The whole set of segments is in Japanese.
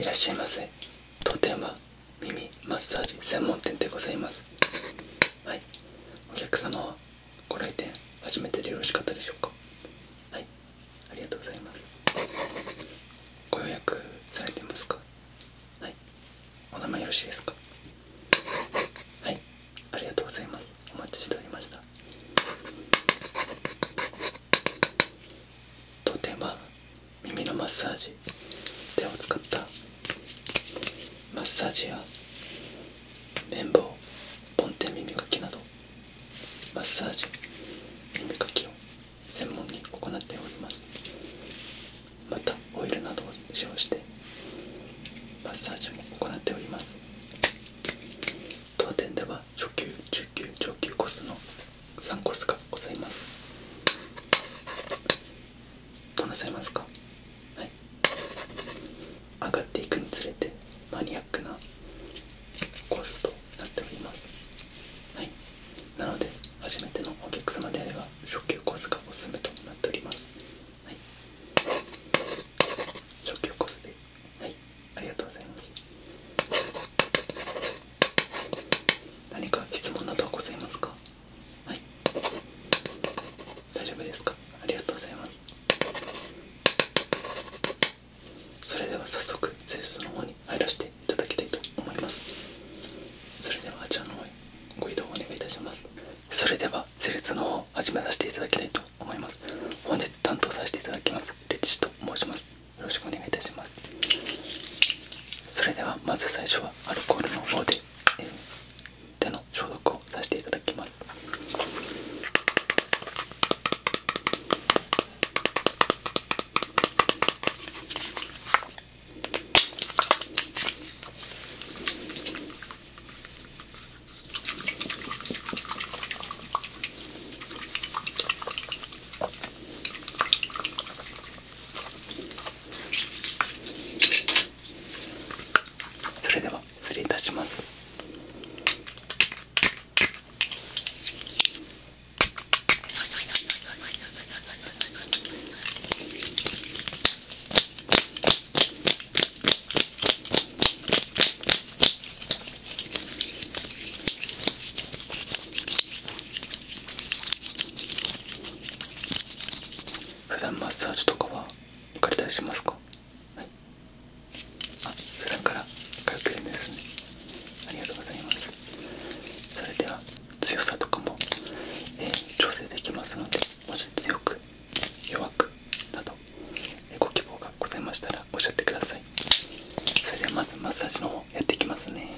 いらっしゃいませとても耳マッサージ専門店でございますはいお客様はご来店初めてでよろしかったでしょうかはいありがとうございますご予約されてますかはいお名前よろしいですかはいありがとうございますお待ちしておりました当店は耳のマッサージ手を使ったマッサージや綿棒ポンて耳かきなどマッサージ耳かきを専門に行っておりますまたオイルなどを使用してマッサージも行っております当店では初級中級上級コースの3コースがございますとなさいますかはい上がっていくにつれてマニアックなコースとなっておりますはいなので初めてのお客様であれば初級コースがおすすめとなっておりますはい初級コースではいありがとうございます何か質問などはございますかはい大丈夫ですかありがとうございますそれでは早速施術の方に入らせていただきたいと思いますそれではあちらの方へご移動をお願いいたしますそれでは施術の方を始めさせていただきたいと思います本日担当させていただきますレッチと申しますよろしくお願いいたしますそれではまず最初はアルコールの方で、えー、手の消毒をさせていただきますそれでは失礼いたします普段マッサージとかは行かれたりしますかはいあ普段から通ってるんすねありがとうございますそれでは強さとかも、え調整できますのでもし強く弱くなど、えご希望がございましたらおっしゃってくださいそれではまずマッサージの方やっていきますね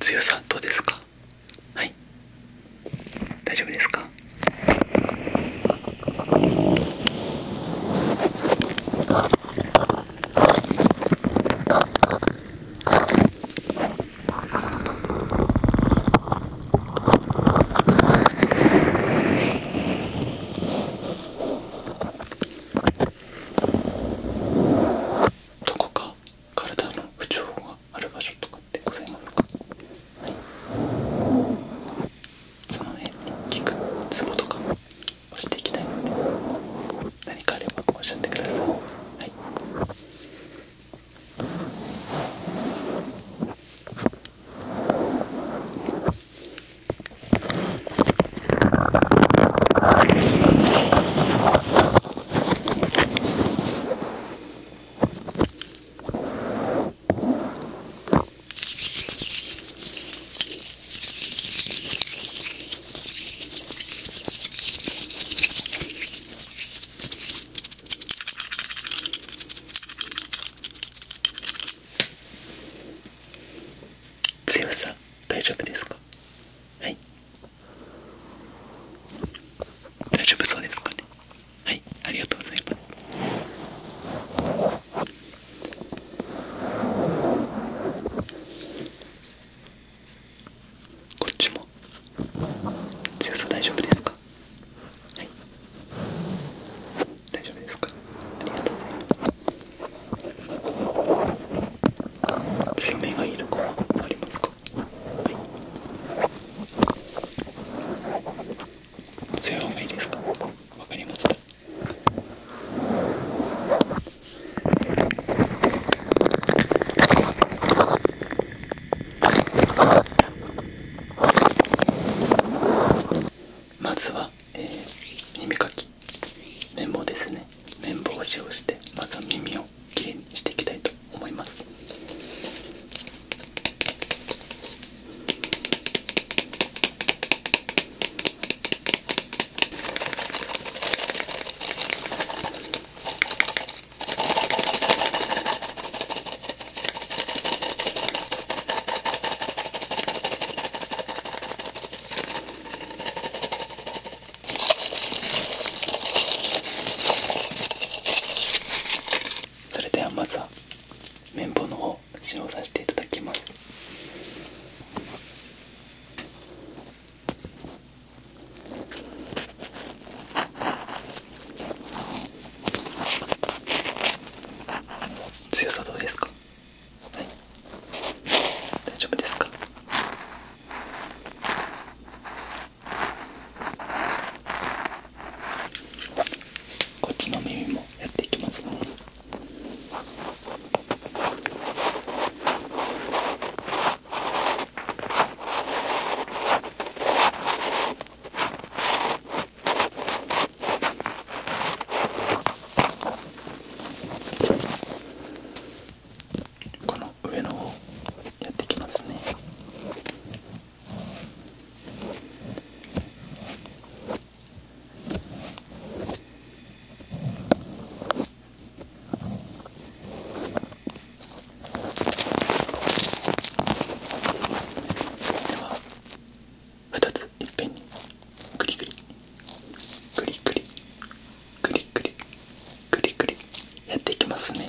強さどうですかはい大丈夫ですかどこか体の不調ががある場所とかってございますか、はい、その辺に聞くツボとか押していきたいので何かあればおっしゃってくださいはい、強さ大丈夫ですかはい大丈夫そうですかねはいありがとうございますこっちも強さ大丈夫ですかはい大丈夫ですかありがとうございます強めがいいとこはありますか強いまずは、耳かき綿棒ですね綿棒を使用してまずは耳をきれいにしていきたいと思いますそれではまずは綿棒の方使用させていただきます強さどうですかはい大丈夫ですかこっちの耳もやっていきますねこの上の方やってきますねでは2ついっぺんにグリグリグリグリグリグリくりくりやっていきますね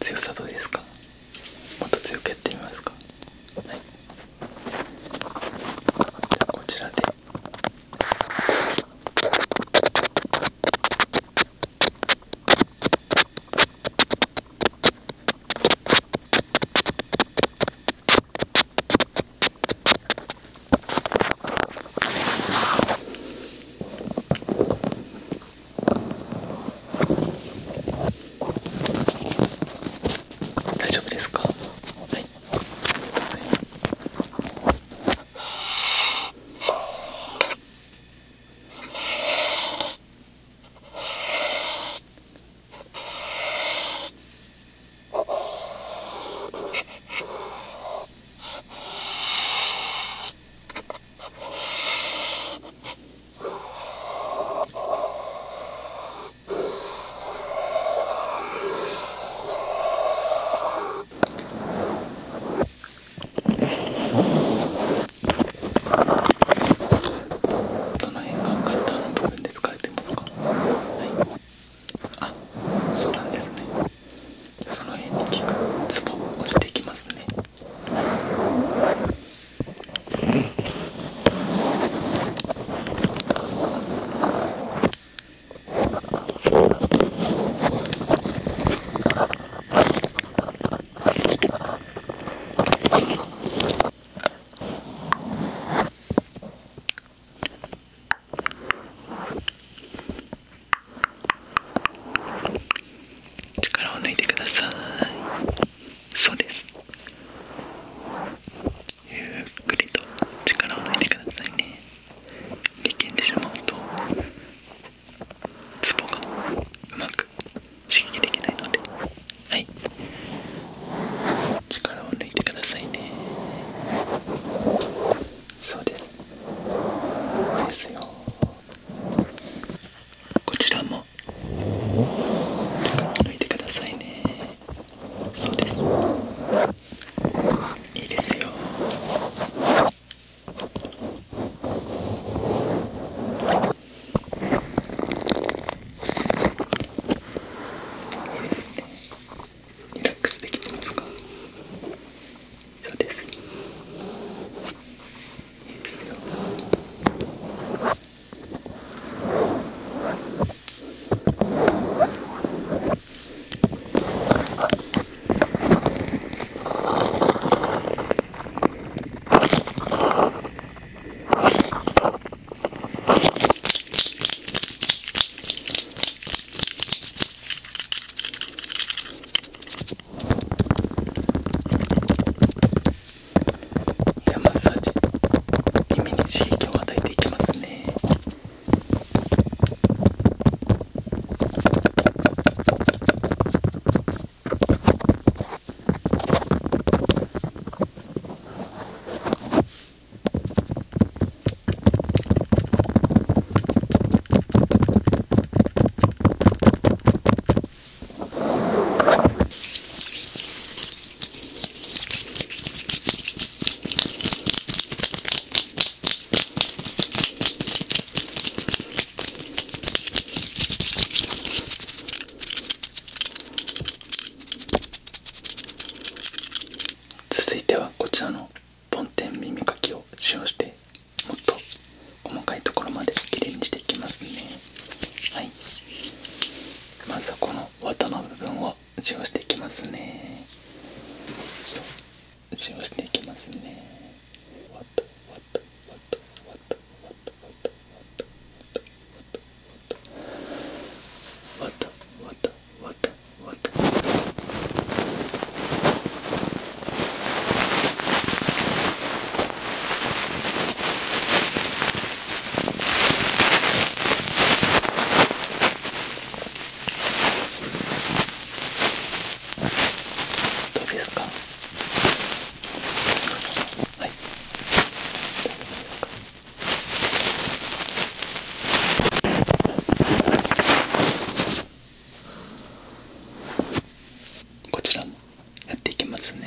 強さどうですかもっと強くやってみますかはいじゃこちらで大丈夫ですかはい、はいどの辺が簡単な部分で疲れてますかはいあそうなんですねその辺に効くツボを押していきますねうん。力を抜いてくださいそうですゆっくりと力を抜いてくださいね力んでしまうとツボがうまく刺激できないのではい力を抜いてくださいねそうですですよこちらも抜いてくださいねそうですいいですよいいですねリラックスできてますかそうですじゃあマッサージ耳に刺激を与えていきますね続いてはこちらの梵天耳かきを使用してもっと細かいところまできれいにしていきますねまずはこの綿の部分を使用していきますねそう使用していきますねわたわたわたわたわたわたわたわたわたわたわたわたわわたわたどうですはいこちらもやっていきますね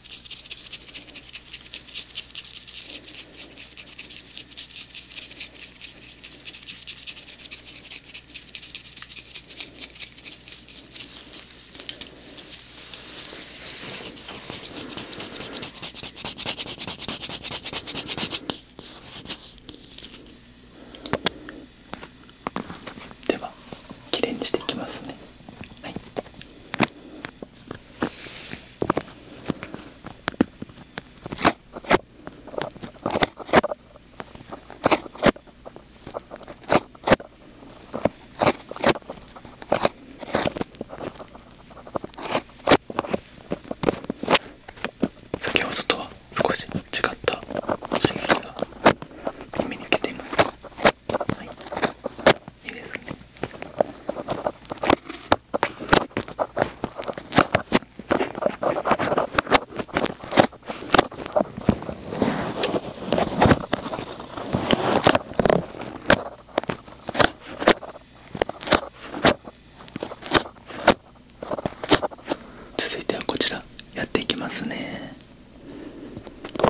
ではきれいにしていきますねはい先ほどとは少し違った刺激が耳に受けていますはいいいですね続いてはこちらやっていきますね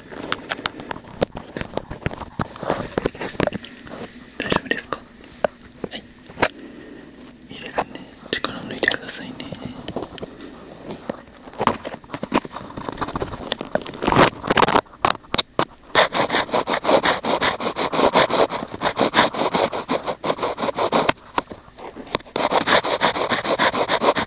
大丈夫ですかはいいいですね力抜いてくださいね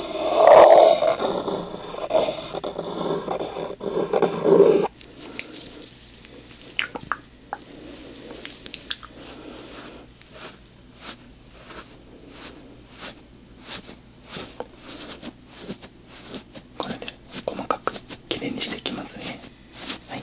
これで細かくきれいにしていきますねはい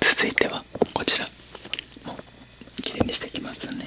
続いてはこちらもきれいにしていきますね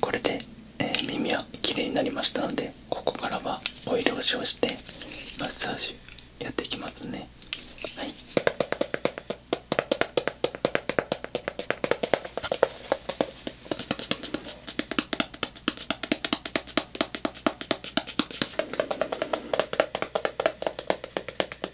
これで、え耳はきれいになりましたのでここからはオイルをしをしてマッサージやっていきますねはい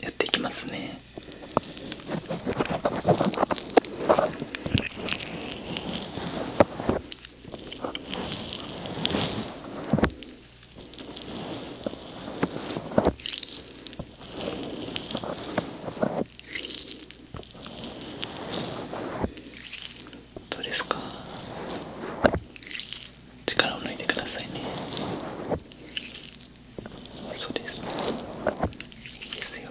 やっていきますね。どうですか力を抜いてくださいねそうですいいですよ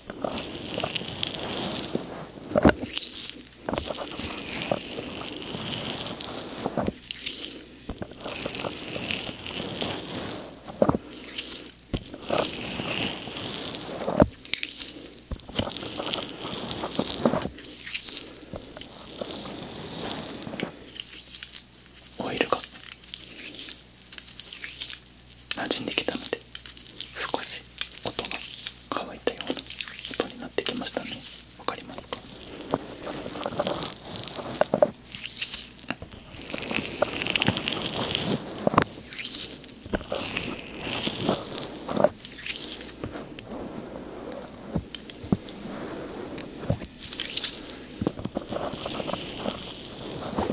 オイルが馴染んできたので少し音が乾いたような音になってきましたねわかりますか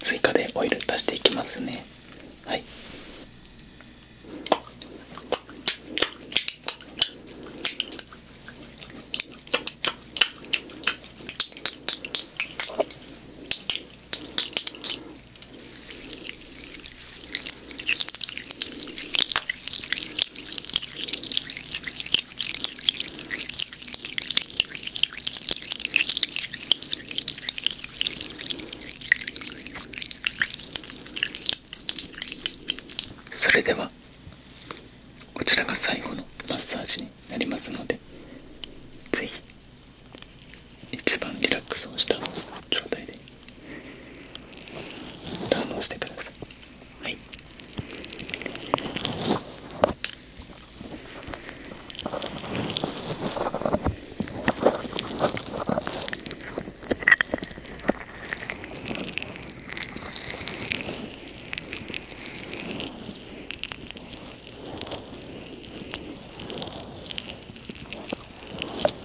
追加でオイル足していきますねはいそれではこちらが最後のマッサージになりますので是非一番リラックスをした状態で堪能してくださいはいはい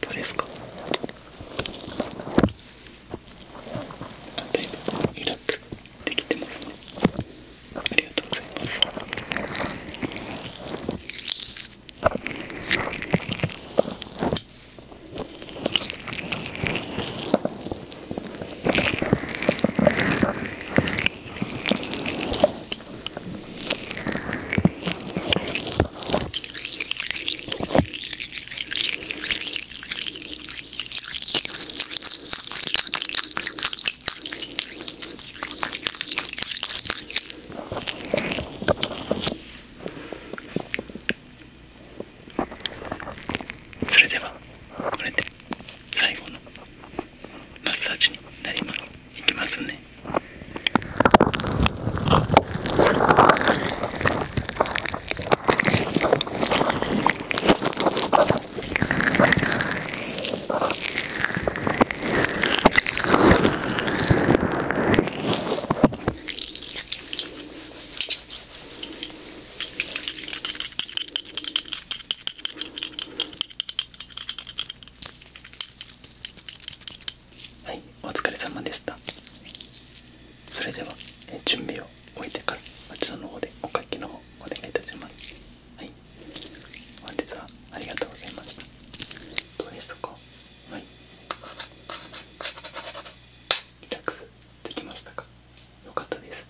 どれですかあだいぶリラッできてますねありがとうございますそれではこれで最後のマッサージになりますいきますねはいお疲れ様でしたそれでは、え準備を終えてからあちらの方でお書きの方お願いいたしますはい本日はありがとうございましたどうでしたかはいリラックスできましたかよかったです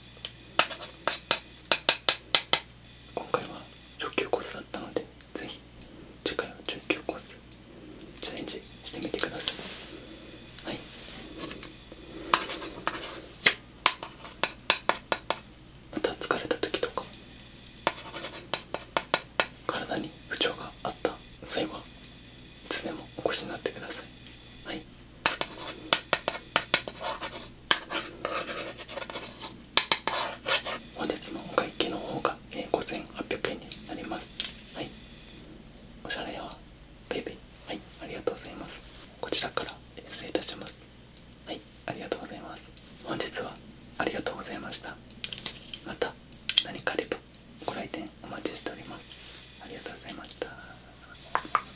今回は上級コースだったのでぜひ次回は上級コースチャレンジしてみてくださいはいまた疲れた時とか体に不調があった際はいつでもお越しになってくださいはい本日のお会計の方が5800円になりますはいおしゃれやベイベイはいありがとうございますこちらから失礼いたしますはいありがとうございます本日はありがとうございましたまた何かあればご来店お待ちしておりますありがとうございました